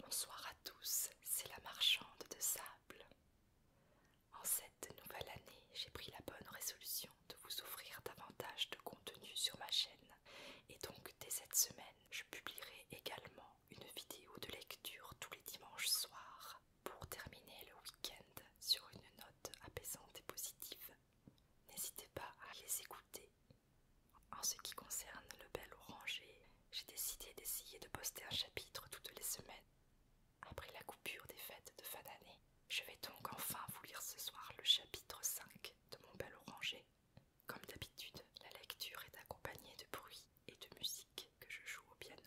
Bonsoir à tous, c'est la marchande de sable. En cette nouvelle année, j'ai pris la bonne résolution de vous offrir davantage de contenu sur ma chaîne et donc dès cette semaine, je publierai également une vidéo de lecture tous les dimanches soirs pour terminer le week-end sur une note apaisante et positive. N'hésitez pas à les écouter. En ce qui concerne le bel oranger, j'ai décidé d'essayer de poster un chapitre toutes les semaines. Après la coupure des fêtes de fin d'année, je vais donc enfin vous lire ce soir le chapitre 5 de mon bel oranger. Comme d'habitude, la lecture est accompagnée de bruits et de musique que je joue au piano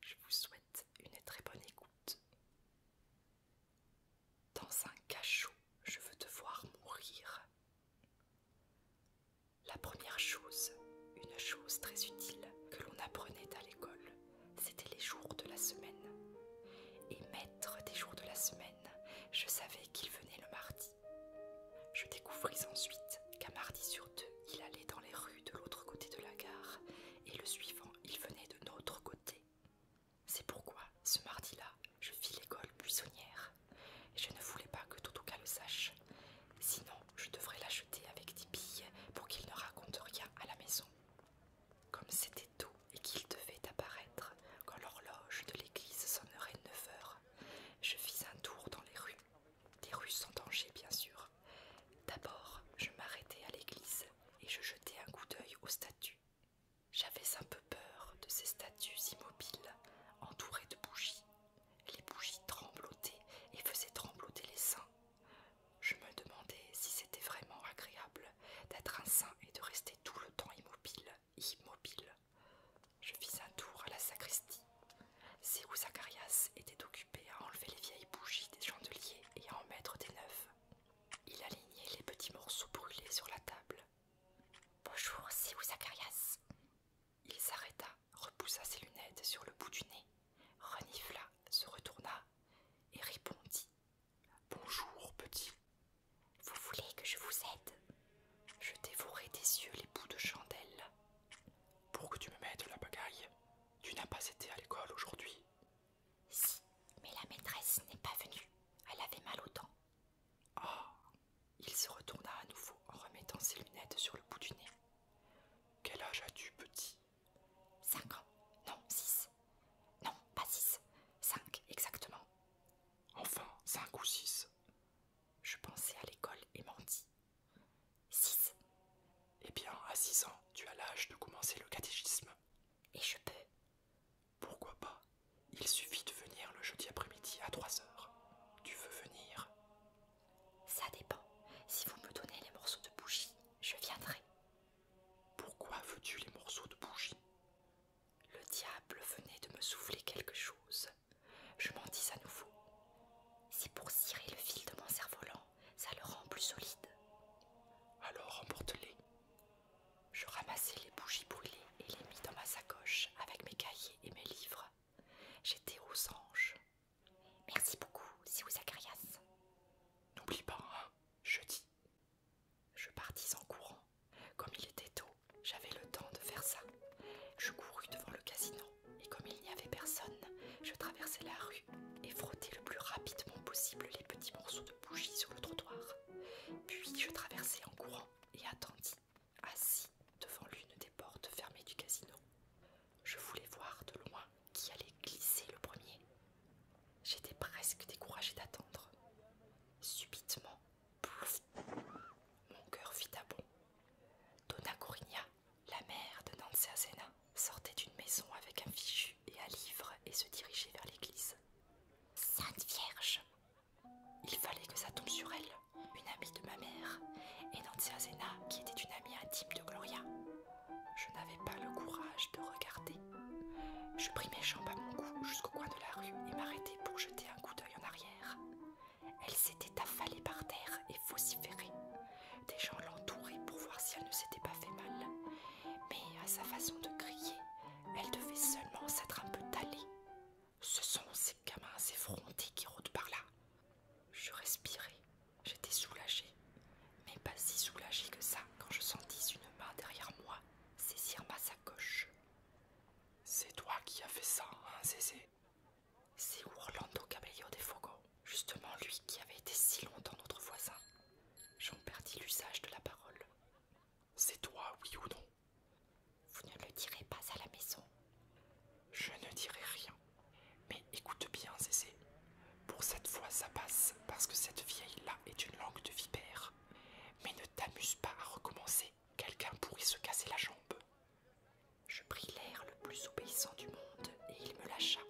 je vous souhaite une très bonne écoute. Dans un cachot, je veux te voir mourir. La première chose, une chose très utile que l'on apprenait à l'école, c'était les jours de la semaine. Et maître des jours de la semaine, je savais qu'il venait le mardi. Je découvris ensuite qu'un mardi sur deux, il allait dans les rues de l'autre côté de la gare, et le suivant, il venait de notre côté. C'est pourquoi, ce mardi-là, je fis l'école buissonnière. je ne voulais pas que Totoka le sache. Sinon, je devrais l'acheter avec des billes pour qu'il ne raconte rien à la maison. Comme c'était tôt et qu'il devait apparaître quand l'horloge de l'église sonnerait 9 heures, je fis un tour dans les rues des rues sans danger, bien sûr. D'abord, je m'arrêtai à l'église et je jetai un coup d'œil aux statues. J'avais un peu peur de ces statues immobiles, entourées de bougies. Les bougies tremblotaient et faisaient trembloter les saints. Je me demandais si c'était vraiment agréable d'être un saint et de rester tout le temps immobile, immobile. Je fis un tour à la sacristie Sérou Zacharias était occupé à enlever les vieilles bougies des chandeliers et à en mettre des neufs. Il alignait les petits morceaux brûlés sur la table. Bonjour, Sérou Zacharias. Il s'arrêta, repoussa ses lunettes sur le bout du nez, renifla, se retourna et répondit Bonjour, petit. Vous voulez que je vous aide Je dévorai des yeux les bouts de chandelle, pour que tu me mettes la bagaille, tu n'as pas été à l'école aujourd'hui. Si, mais la maîtresse n'est pas venue. Elle avait mal au temps. Ah Il se retourna à nouveau en remettant ses lunettes sur le bout du nez. Quel âge as-tu, petit Cinq ans. Non, six. Non, pas six. Cinq, exactement. Enfin, cinq ou six. Je pensais à l'école et mentis 6. Eh bien, à 6 ans, tu as l'âge de commencer le catéchisme. Et je peux Pourquoi pas Il suffit de venir le jeudi après-midi à 3 heures. Tu veux venir Ça dépend. Si vous me donnez les morceaux de bougie, je viendrai. Pourquoi veux-tu les morceaux de bougie Le diable venait de me souffler quelque chose. Je m'en dis à nouveau. C'est pour cirer le fil de mon cerf-volant, ça le rend plus solide. Alors emporte-les. Je ramassai les bougies brûlées et les mis dans ma sacoche avec mes cahiers et mes livres. J'étais aux anges. Merci beaucoup, si vous Zagarias. N'oublie pas, hein, je dis. Je partis en courant. Comme il était tôt, j'avais le temps de faire ça. Je courus devant le casino et comme il n'y avait personne, je traversai la rue et frottais le plus rapidement possible les petits morceaux de bougie sur le trottoir. Puis je traversai en courant et attendis, assis devant l'une des portes fermées du casino. Je voulais voir de loin qui allait glisser le premier. J'étais presque découragée d'attendre. Subitement, pouf! mon cœur fit à bon. Donna Corinna. La mère de Azena sortait d'une maison avec un fichu et un livre et se dirigeait vers l'église. Sainte Vierge Il fallait que ça tombe sur elle, une amie de ma mère, et Azena, qui était une amie intime de Gloria. Je n'avais pas le courage de regarder. Je pris mes jambes à mon cou jusqu'au coin de la rue et m'arrêtai pour jeter un coup d'œil en arrière. Elle s'était affalée par terre et vociférée. Des gens l'entouraient pour voir si elle ne s'était pas fait mal. Mais à sa façon de crier, elle devait seulement s'être un peu talée. Ce sont ces gamins effrontés qui rôdent par là. Je respirais, j'étais soulagée, mais pas si soulagée que ça quand je sentis une main derrière moi saisir ma sacoche. C'est toi qui as fait ça, hein, c'est Orlando Cabello de Fogo, justement lui qui avait été si longtemps notre voisin. J'en perdis l'usage de la parole. C'est toi, oui ou non Vous ne le direz pas à la maison. Je ne dirai rien. Mais écoute bien, Zézé. Pour cette fois, ça passe, parce que cette vieille-là est une langue de vipère. Mais ne t'amuse pas à recommencer. Quelqu'un pourrait se casser la jambe. Je pris l'air le plus obéissant du monde et il me lâcha.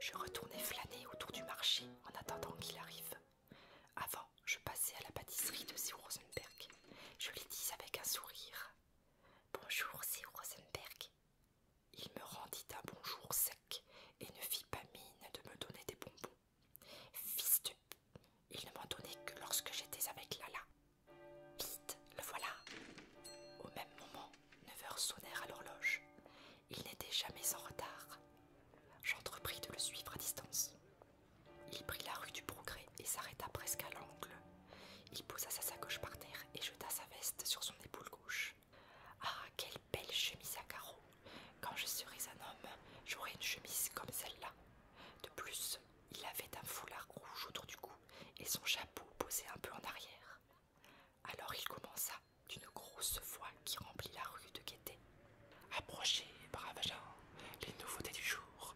Je retournai flâner autour du marché en attendant qu'il arrive. Avant, je passai à la pâtisserie de C. Rosenberg. Je lui dis avec un sourire Bonjour, C. Rosenberg. Il me rendit un bonjour sec et ne fit pas mine de me donner des bonbons. Fils de. Il ne m'en donnait que lorsque j'étais avec Lala. Vite, le voilà. Au même moment, neuf heures sonnèrent à l'horloge. Il n'était jamais en retard. J'entrepris de le suivre à distance. Il prit la rue du Progrès et s'arrêta presque à l'angle. Il posa sa sacoche par terre et jeta sa veste sur son épaule gauche. Ah, quelle belle chemise à carreaux Quand je serai un homme, j'aurai une chemise comme celle-là. De plus, il avait un foulard rouge autour du cou et son chapeau posé un peu en arrière. Alors il commença, d'une grosse voix qui remplit la rue de gaieté. Approchez, brave gens, les nouveautés du jour.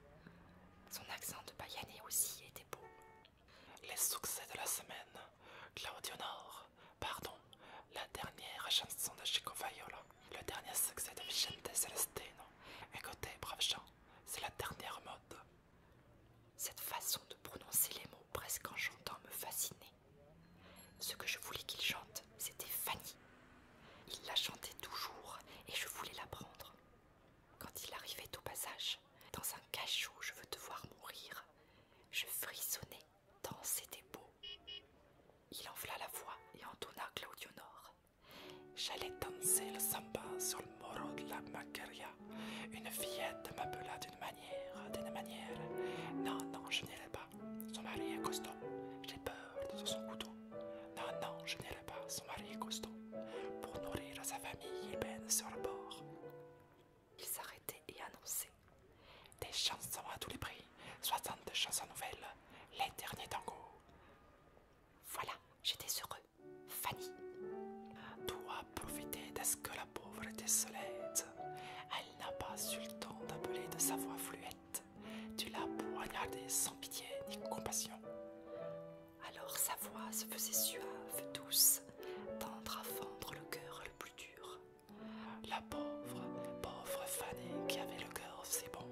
Son accent de païenné aussi était beau. Les succès de la semaine, Claudio Nord, pardon, la dernière chanson de Chico le dernier succès de Vicente Celestino. Écoutez, brave gens, c'est la dernière mode. Cette façon de prononcer les mots presque en chantant me fascinait. Ce que je voulais qu'il chante, c'était Fanny. Il la chantait toujours et je voulais l'apprendre. Quand il arrivait au passage, dans un cachot, je veux te voir mourir, je frissonnais tant c'était beau. Il enfla la voix et entonna Claudio Claudionore. J'allais danser le samba sur le moro de la Macaria. Une fillette m'appela d'une manière, d'une manière. Non, non, je n'irai pas. Son mari est costaud. J'ai peur de son couteau. Non, non, je n'irai pas. Son mari est costaud. Pour nourrir sa famille, il baigne sur le bord. Il s'arrêtait et annonçait des chansons à tous les prix, Soixante chansons nouvelles, les derniers tangos. Voilà, j'étais heureux. Fanny. doit profiter de ce que la pauvre solette. elle n'a pas eu le temps d'appeler de sa voix fluette. Tu l'as poignardée sans pitié ni compassion. Alors sa voix se faisait suave, douce, tendre à fendre le cœur le plus dur. La pauvre, pauvre Fanny qui avait le cœur si bon,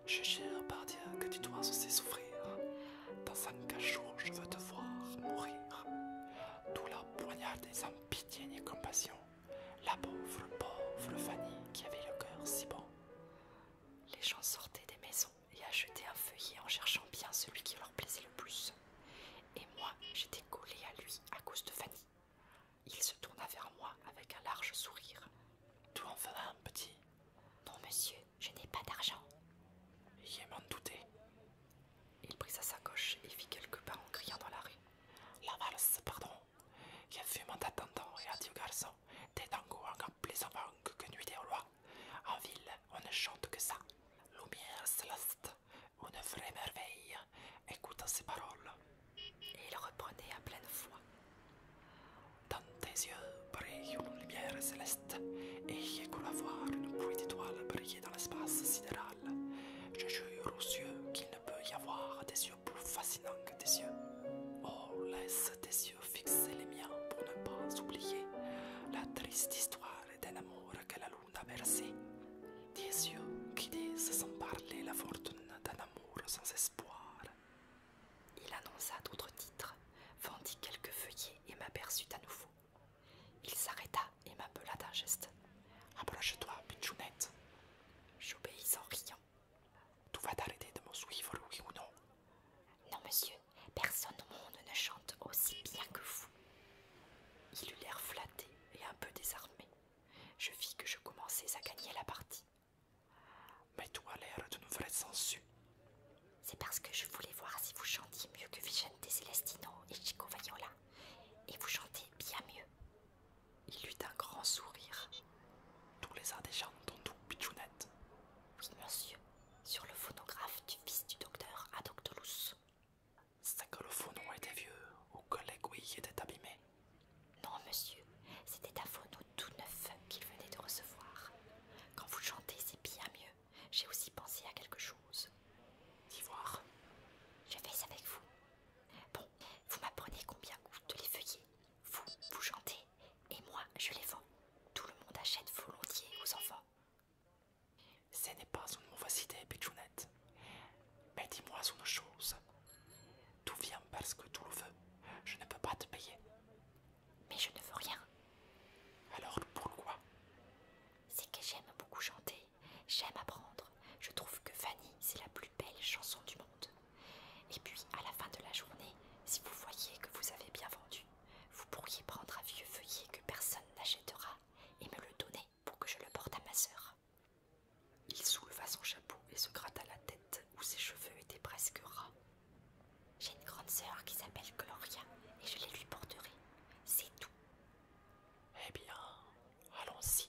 « Je cherche par dire que tu dois aussi souffrir. Dans un cachot, je veux te voir mourir. D'où la poignarde des sans pitié ni compassion. La pauvre, pauvre Fanny qui avait le cœur si bon. Les gens sortaient des maisons et achetaient un feuillet en cherchant bien celui qui leur plaisait le plus. Et moi, j'étais collée à lui à cause de Fanny. Il se tourna vers moi avec un large sourire. Tu en venait un petit Non, monsieur, je n'ai pas d'argent. Je m'en doutais. Il prit sa sacoche et fit quelques pas en criant dans la rue. La valse, pardon. Il a fume en d'attendant et adieu garçon. T'es dango encore plus avant que nuit des rois. En ville, on ne chante que ça. Lumière céleste, une vraie merveille. Écoute ces paroles. Et il reprenait à pleine voix. Dans tes yeux brille une lumière céleste, et j'ai la voir une pluie d'étoiles briller dans l'espace sidéral. Je jure aux yeux qu'il ne peut y avoir des yeux plus fascinants que tes yeux. Oh, laisse tes yeux fixer les miens pour ne pas oublier la triste histoire d'un amour que la lune a versé. Des yeux qui disent sans parler la fortune d'un amour sans espoir. Il annonça d'autres titres, vendit quelques feuillets et m'aperçut à nouveau. Il s'arrêta et m'appela d'un geste. Approche-toi, pitchounette. J'obéis en riant. Tu vas t'arrêter de me suivre, oui ou non Non, monsieur, personne au monde ne chante aussi bien que vous. Il eut l'air flatté et un peu désarmé. Je vis que je commençais à gagner la partie. Mais a l'air d'une vraie sangsue. C'est parce que je voulais voir si vous chantiez mieux que Vicente Celestino et Chico Viola. Et vous chantez bien mieux. Il eut un grand sourire. Tous les déjà tout Pichounette. Oui, monsieur, sur le phonographe du fils du docteur Adoctolus. C'est que le phonon était vieux, ou que l'aiguille était abîmée. Non, monsieur, c'était un phono tout neuf qu'il venait de recevoir. Quand vous chantez, c'est bien mieux. J'ai aussi pensé à quelque chose. D'ivoire. Je vais avec vous. Bon, vous m'apprenez combien coûtent les feuillets. Vous, vous chantez, et moi, je les vends. Tout le monde achète volontiers aux enfants. Ce n'est pas une mauvaise idée, Pichounette. Mais dis-moi une chose. Tout vient parce que tout le veut. Je ne peux pas te payer. Mais je ne veux rien. Alors pourquoi C'est que j'aime beaucoup chanter, j'aime apprendre. Je trouve que Fanny, c'est la plus belle chanson du monde. Et puis, à la fin de la journée, si vous voyez que vous avez bien vendu, vous pourriez prendre un vieux feuillet que personne n'achètera et me le donner pour que je le porte à ma sœur. Il souleva son chapeau et se gratta la tête où ses cheveux étaient presque ras. J'ai une grande sœur qui s'appelle Gloria et je les lui porterai. C'est tout. Eh bien, allons-y.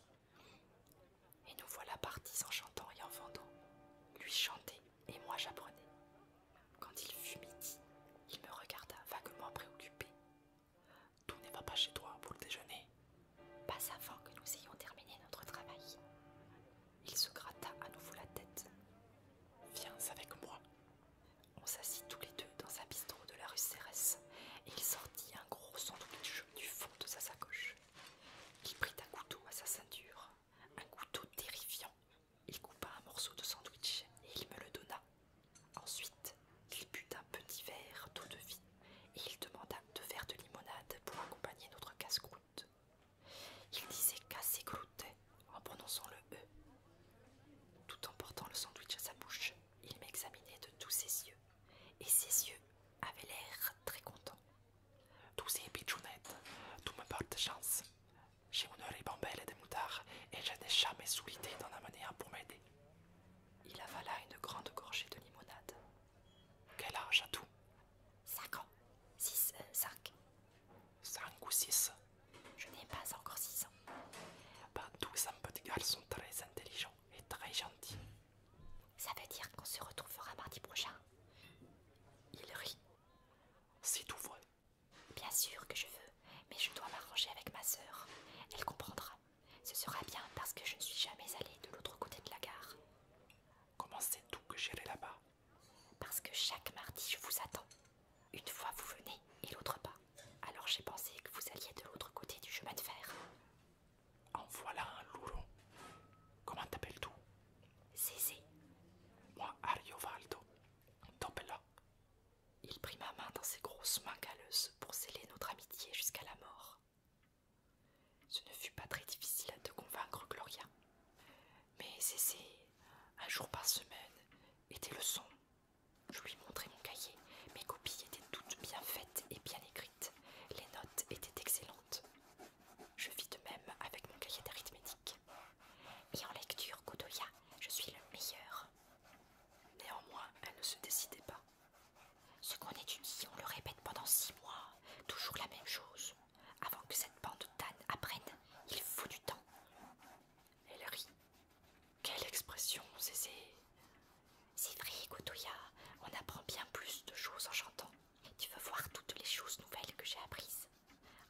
Et nous voilà partis en chantant et en vendant. Lui chantait et moi j'apprenais. Quand il fut midi, il me regarda vaguement préoccupé. Tout n'est pas pas chez toi pour le déjeuner. Pas avant que nous ayons terminé notre travail. Il se gratta à nouveau la tête. Viens avec moi. On s'assit tous les deux dans un bistrot de la rue Cérès et il sortit un gros sandwich du fond de sa sacoche. Il prit un couteau à sa ceinture, un couteau terrifiant. Il coupa un morceau de sandwich et il me le donna. Ensuite, il but un petit verre d'eau de vie et il demanda deux verres de limonade pour accompagner notre casse-croûte. Il disait cassé croûte en prononçant le E. Tout en portant le sandwich à sa bouche, il m'examinait de tous ses yeux, et ses yeux avaient l'air très contents. Tous ces pichounettes, tout me porte chance. J'ai une et des moutards, et je n'ai jamais souhaité d'en amener un pour m'aider. Il avala une grande gorgée de limonade. Quel âge a tout 5 ans. 6, 5. 5 ou 6 Je n'ai pas encore six ans. bah tous petits petit sont très intelligents et très gentils. Ça veut dire qu'on se retrouvera mardi prochain. Il rit. C'est tout vrai. Bien sûr que je veux, mais je dois m'arranger avec ma sœur. Elle comprendra. Ce sera bien parce que je ne suis jamais allée de l'autre côté de la gare. Comment c'est tout que j'irai là-bas Parce que chaque mardi, je vous attends. Une fois vous venez et l'autre pas. Alors j'ai pensé que vous alliez de l'autre côté du chemin de fer. En voilà un lourd. Comment t'appelles-tu Zézé. Moi, Ariovaldo. là Il prit ma main dans ses grosses mains calleuses pour sceller notre amitié jusqu'à la mort. Ce ne fut pas très difficile de convaincre Gloria, mais cesser un jour par semaine était le son. Je lui montrais mon cahier, mes copies étaient toutes bien faites et bien écrites, les notes étaient excellentes. Je vis de même avec mon cahier d'arithmétique. Et en lecture, Godoya, je suis le meilleur. Néanmoins, elle ne se décidait pas. Ce qu'on étudie, on le répète pendant six mois, toujours la même chose. Avant que cette bande d'ânes apprenne, il faut du temps. Elle rit. Quelle expression, c'est... C'est vrai, Gotoya, on apprend bien plus de choses en chantant. Tu veux voir toutes les choses nouvelles que j'ai apprises.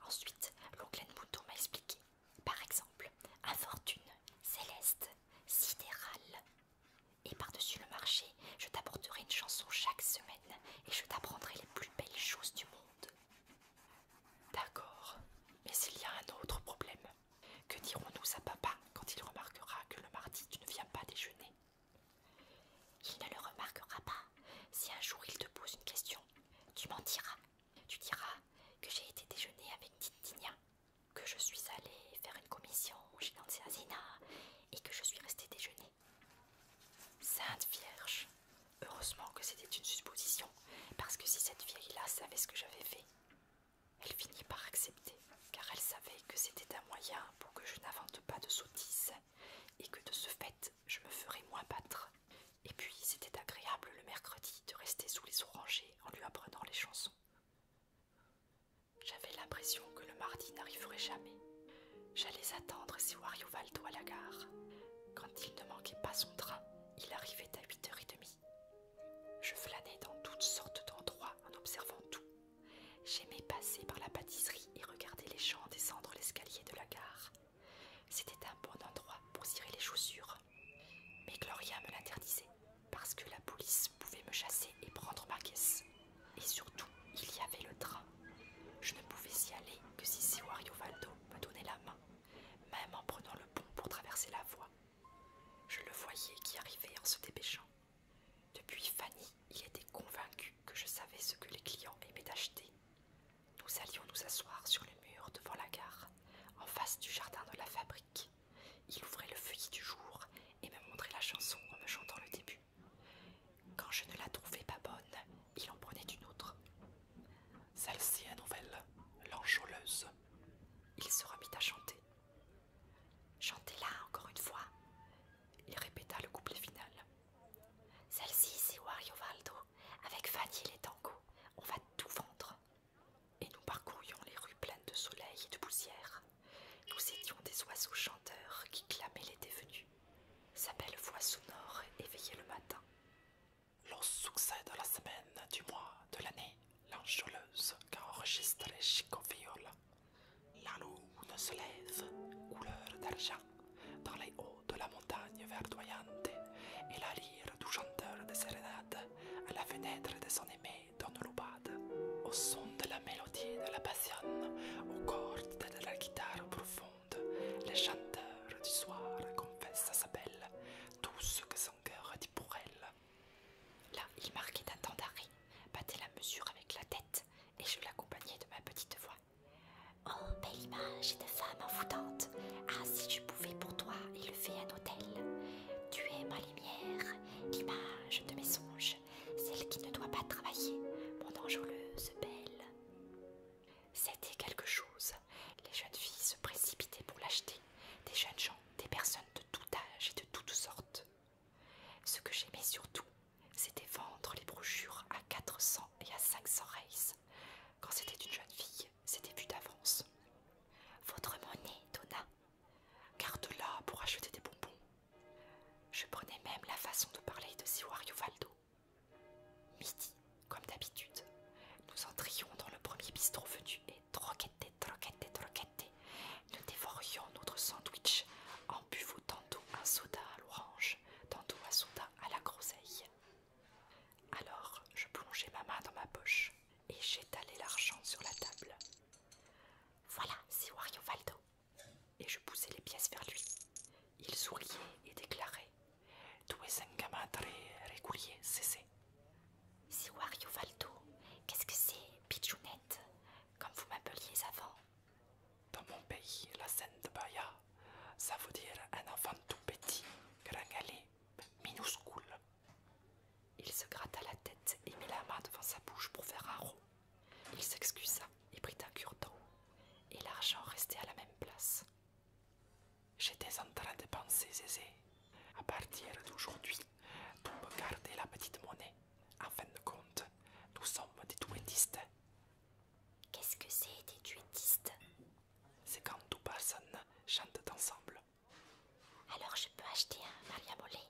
Ensuite, l'oncle Mouton m'a expliqué. Par exemple, infortune, céleste, sidérale, et par-dessus le marché, je t'apporterai une chanson chaque semaine et je t'apprendrai les plus belles choses du monde. D'accord, mais s'il y a un autre problème. Que dirons-nous à papa quand il remarquera que le mardi tu ne viens pas déjeuner Il ne le remarquera pas. Si un jour il te pose une question, tu mentiras. Tu diras que j'ai été déjeuner avec Titinia, que je suis allée faire une commission chez Nancy Azina et que je suis restée déjeuner. Sainte Vierge Heureusement que c'était une supposition, parce que si cette vieille-là savait ce que j'avais fait, elle finit par accepter, car elle savait que c'était un moyen pour que je n'invente pas de sottises, et que de ce fait, je me ferais moins battre. Et puis, c'était agréable le mercredi de rester sous les orangers en lui apprenant les chansons. J'avais l'impression que le mardi n'arriverait jamais. J'allais attendre si Wario Valdo à la gare. Quand il ne manquait pas son train, il arrivait à 8h30. Je flânais dans toutes sortes d'endroits en observant tout. J'aimais passer par la pâtisserie et regarder les gens descendre l'escalier de la gare. C'était un bon endroit pour cirer les chaussures. Mais Gloria me l'interdisait parce que la police pouvait me chasser et prendre ma caisse. Et surtout, il y avait le train. Je ne pouvais y aller que si Siwario Valdo me donnait la main, même en prenant le pont pour traverser la voie. Je le voyais qui arrivait en se dépêchant. Depuis Fanny, il était convaincu que je savais ce que les clients aimaient acheter. Nous allions nous asseoir sur le mur devant la gare, en face du jardin de la fabrique. Il ouvrait le feuillet du jour et me montrait la chanson en me chantant le début. Quand je ne la trouvais pas bonne, il en prenait une autre. Celle-ci est nouvelle, l'enjôleuse. Il se remit à chanter. Chantez-la encore une fois. Il répéta le couplet final. Celle-ci, c'est Wario Valdo. Avec Fanny et tango. on va tout vendre. Et nous parcourions les rues pleines de soleil et de poussière nous étions des oiseaux chanteurs qui clamaient l'été venu. Sa belle voix sonore éveillait le matin. Le succès de la semaine du mois de l'année, l'ange qu'enregistre les chicofiole. La lune se lève, couleur d'argent, dans les hauts de la montagne verdoyante, et la lyre du chanteur de sérénades à la fenêtre de son aimé dans au son de la mélodie de la passion, aux cordes de la guitare profonde, les chanteurs du soir confessent à sa belle tout ce que son cœur dit pour elle. Là, il marquait un temps d'arrêt, battait la mesure avec la tête, et je l'accompagnais de ma petite voix. Oh, belle image de femme envoûtante! Ah, si je pouvais pour toi élever un hôtel! Tu es ma lumière, l'image de mes songes, celle qui ne doit pas travailler, mon enjôleuse belle. C'était quelque chose. Les jeunes filles se précipitaient pour l'acheter, des jeunes gens, des personnes de tout âge et de toutes sortes. Ce que j'aimais surtout, c'était vendre les brochures à 400 et à 500 reis. Quand c'était une jeune fille, c'était vu d'avance. Votre monnaie, Donna, garde là, pour acheter des bonbons. Je prenais même la façon de parler de Siwario Valdo. Midi, comme d'habitude, nous entrions dans le premier bistrot venu et troquette, troquette, troquette, nous dévorions notre sandwich en buvant tantôt un soda à l'orange, tantôt un soda à la groseille. Alors je plongeais ma main dans ma poche et j'étalais l'argent sur la table. Voilà, c'est Wario Valdo. Et je poussais les pièces vers lui. Il souriait et déclarait Tu es un gamin très régulier, c'est C'est Wario Valdo. Qu'est-ce que c'est, Pichounette Comme vous m'appeliez avant. Dans mon pays, la scène de Baya, ça veut dire un enfant tout petit, gringalé, minuscule. Il se gratta la tête et mit la main devant sa bouche pour faire un rond. Il s'excusa et prit un cure-dent, et l'argent restait à la même place. J'étais en train de penser, Zézé. À partir d'aujourd'hui, tu garder la petite monnaie. En fin de compte, nous sommes des duettistes. Qu'est-ce que c'est des duettistes C'est quand deux personnes chantent ensemble. Alors je peux acheter un mariabolé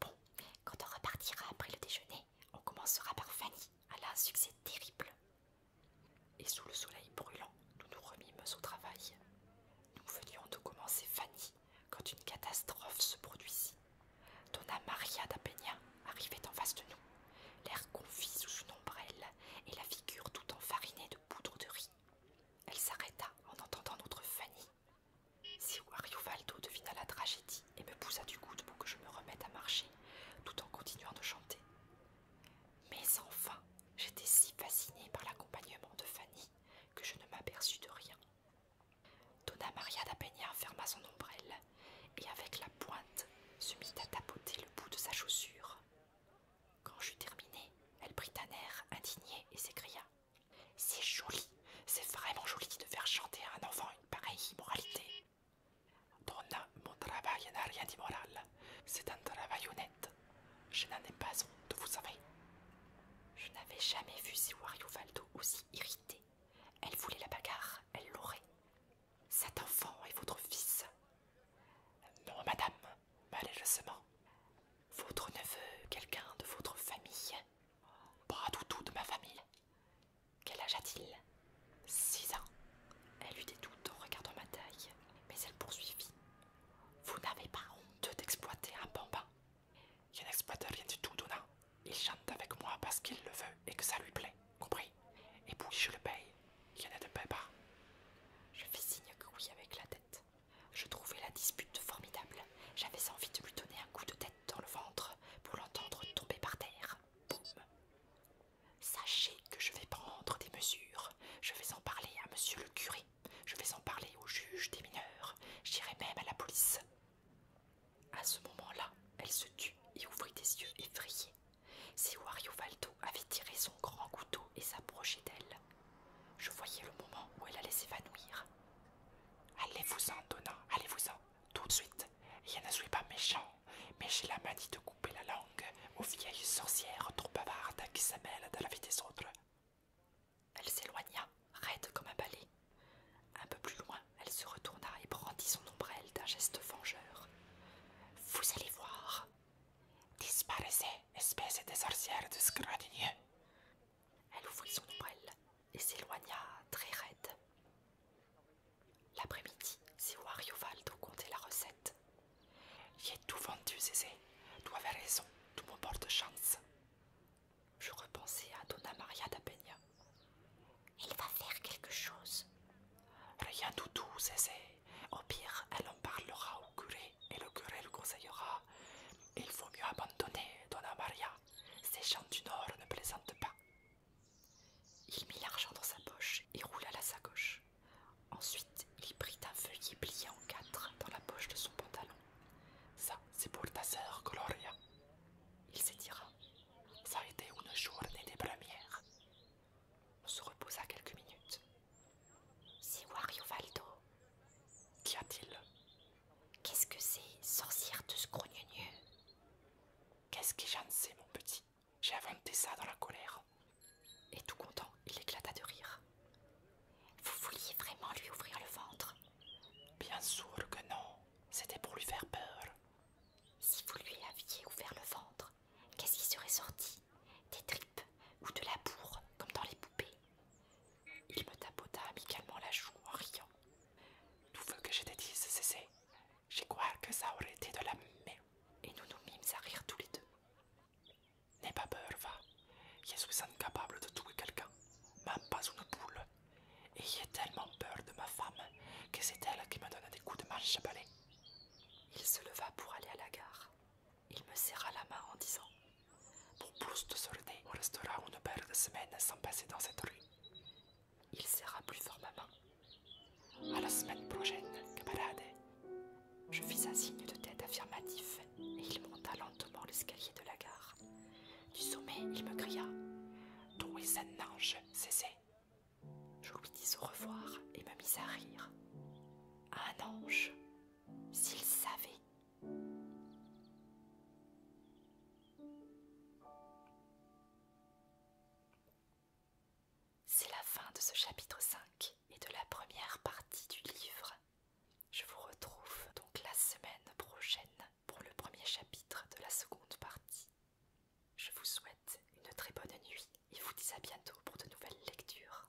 Bon, quand on repartira après le déjeuner, on commencera par Fanny. Elle a un succès terrible. Et sous le soleil brûlant, nous nous remîmes au travail. Nous venions de commencer Fanny quand une catastrophe se produisit. Donna Maria da arrivait en face de nous, l'air confit sous une ombrelle et la figure tout enfarinée de poudre de riz. Elle s'arrêta en entendant notre Fanny si Wario Valdo devina la tragédie et me poussa du coude pour que je me remette à marcher, tout en continuant de chanter. Mais enfin, j'étais si fascinée par l'accompagnement de Fanny que je ne m'aperçus de rien. Donna Maria da ferma son ombrelle et avec la pointe se mit à tapoter le bout de sa chaussure. Quand j'eus terminé, elle prit un air indigné et s'écria c'est joli, c'est vraiment joli de faire chanter à un enfant une pareille immoralité. Donna, mon travail n'a rien d'immoral. C'est un travail honnête. Je n'en ai pas honte, vous savez. Je n'avais jamais vu si Valdo aussi irrité. Elle voulait la bagarre, elle l'aurait. Cet enfant est votre fils. Non, madame, malheureusement. Votre neveu, quelqu'un de votre famille. Bras toutou de ma famille. Quel âge a-t-il Six ans. Elle eut des doutes en regardant ma taille, mais elle poursuivit. Vous n'avez pas honte d'exploiter un bambin Il n'exploite rien du tout, non. Il chante avec moi parce qu'il le veut et que ça lui plaît, compris Et puis je le paye. Il en de de pas. Je fais signe que oui avec la tête. Je trouvais la dispute formidable. J'avais envie de lui donner un coup de tête dans le ventre pour l'entendre tomber par terre. Boum Sachez que je vais prendre des mesures. Je vais en parler à monsieur le curé. Je vais en parler au juge des mineurs. J'irai même à la police. À ce moment-là, elle se tut et ouvrit des yeux effrayés. Si Wario Valdo avait tiré son grand couteau et s'approchait d'elle, je voyais le moment où elle allait s'évanouir. Allez-vous-en, Donna, allez-vous-en, tout de suite. Je ne suis pas méchant, mais j'ai la manie de couper la langue aux vieilles sorcières trop bavardes qui s'amènent dans la vie des autres. Elle s'éloigna, raide comme un balai. Un peu plus loin, elle se retourna et brandit son ombrelle d'un geste vengeur. Vous allez voir. Disparaissez, espèce de sorcière de elle ouvrit son ombrelle et s'éloigna très raide. L'après-midi, c'est Wariovaldo doit compter la recette. J'ai tout vendu, Zézé. Tu avais raison, tout mon de chance. Je repensais à Donna Maria da Elle va faire quelque chose. Rien du tout, Zézé. Au pire, elle en parlera au curé et le curé le conseillera. Il vaut mieux abandonner, Donna Maria. Ces gens du Nord ne plaisantent pas. Il mit l'argent dans sa poche et roula la sacoche. Ensuite, il prit un feuillet plié en quatre dans la poche de son pantalon. Ça, c'est pour ta sœur, Gloria. Il s'étira. Ça a été une journée des premières. On se reposa quelques minutes. C'est Wario Valdo. Qu'y a-t-il Qu'est-ce que c'est, sorcière de ce grognonieux Qu'est-ce que j'en sais, mon petit J'ai inventé ça dans la colère. Et tout content, il éclata de rire. Vous vouliez vraiment lui ouvrir le ventre Bien sûr que non. C'était pour lui faire peur. Si vous lui aviez ouvert le ventre, qu'est-ce qui serait sorti Des tripes ou de la bourre, comme dans les poupées il me tapota amicalement la joue en riant. Tout veut que je te dise, c'est J'ai crois que ça aurait été de la merde. Et nous nous mîmes à rire tous les deux. N'aie pas peur, va. Je suis incapable de tuer quelqu'un, même pas une poule. Et j'ai tellement peur de ma femme que c'est elle qui me donne des coups de marche à balai. Il se leva pour aller à la gare. Il me serra la main en disant pour plus de solder, on restera une paire de semaines sans passer dans cette rue. Il serra plus fort ma main. À la semaine prochaine, camarade. Je fis un signe de tête affirmatif et il monta lentement l'escalier de la gare. Du sommet, il me cria D'où est un ange, ça. » Je lui dis au revoir et me mis à rire. Un ange S'il savait c'est la fin de ce chapitre 5 et de la première partie du livre. Je vous retrouve donc la semaine prochaine pour le premier chapitre de la seconde partie. Je vous souhaite une très bonne nuit et vous dis à bientôt pour de nouvelles lectures.